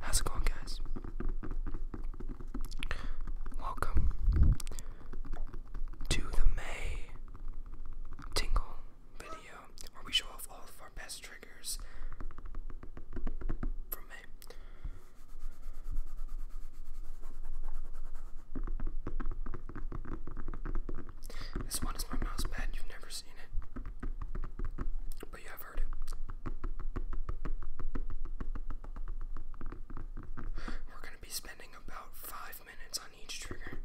How's it going, guys? Welcome to the May Tingle video where we show off all of our best triggers This one is my mouse pad, you've never seen it. But you have heard it. We're gonna be spending about five minutes on each trigger.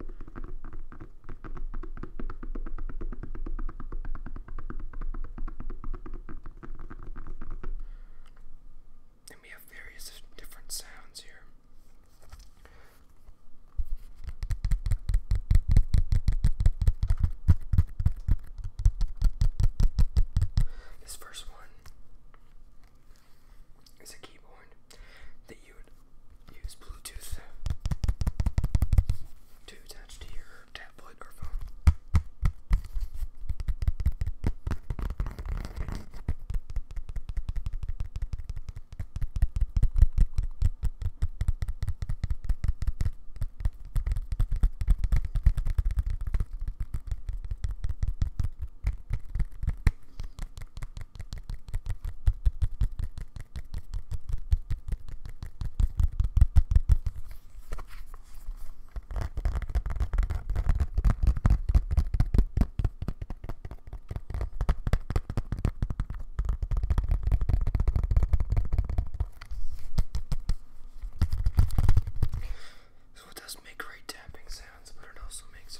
And we have various different sounds here. This first one is a keyboard that you would use Bluetooth to attach to your tablet or phone. So it does make great tapping sounds, but it also makes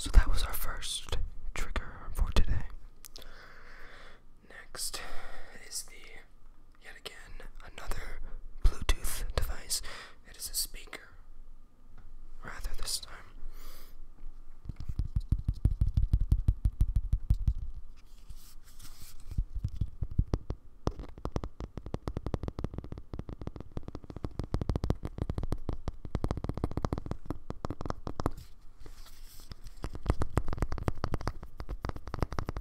So that was our first trigger for today. Next is the yet again another Bluetooth device. It is a speaker. Rather this time.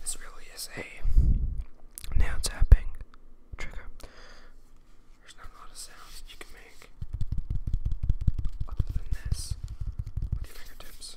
This really is a nail tapping trigger. There's not a lot of sounds you can make other than this with your fingertips.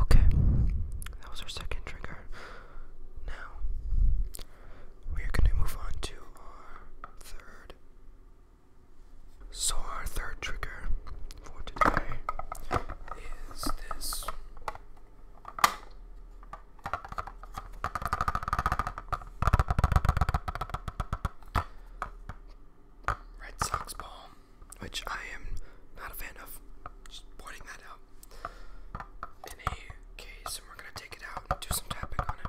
Okay, that was our second trigger. Now we're going to move on to our third. So, our third trigger for today is this Red Sox ball, which I am not a fan of. Just pointing that out. In a case, and we're gonna take it out and do some tapping on it.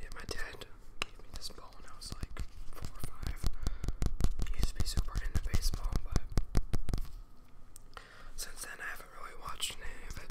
Yeah, my dad gave me this ball when I was like four or five. used to be super into baseball, but since then, I haven't really watched any of it.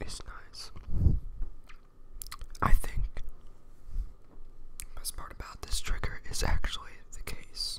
It's nice. I think best part about this trigger is actually the case.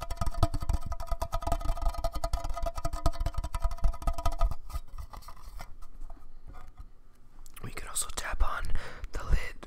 We can also tap on the lid.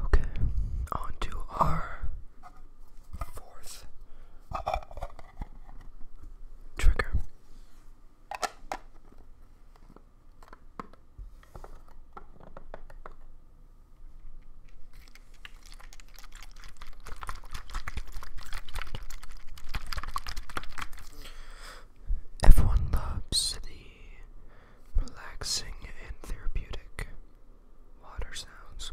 Okay, on our fourth trigger. Everyone loves the relaxing and therapeutic water sounds.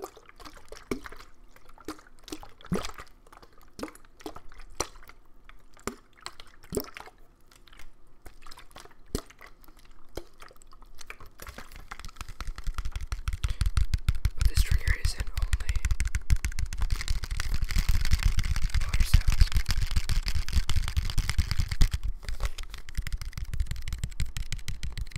But this trigger isn't only water sounds.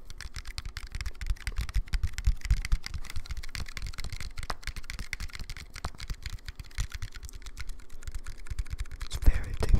It's very tingly.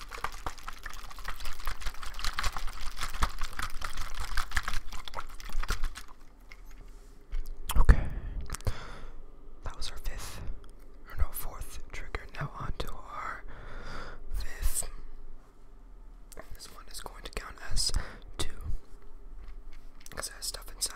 Okay. That was our fifth, or no, fourth trigger. Now on to our fifth. This one is going to count as two. Because I have stuff inside.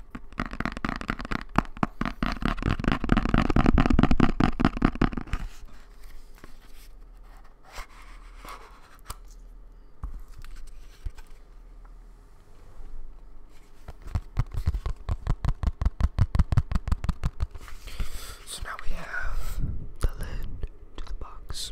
So now we have the lid to the box.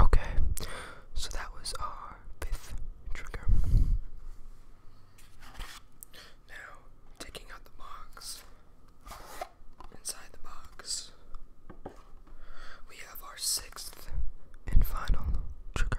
Okay, so that was um our fifth trigger. Now, taking out the box, inside the box, we have our sixth and final trigger.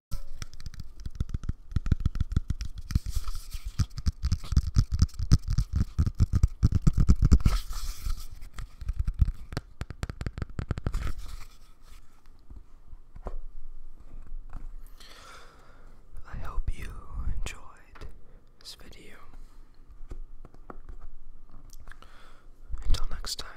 I hope you enjoyed this video. Until next time.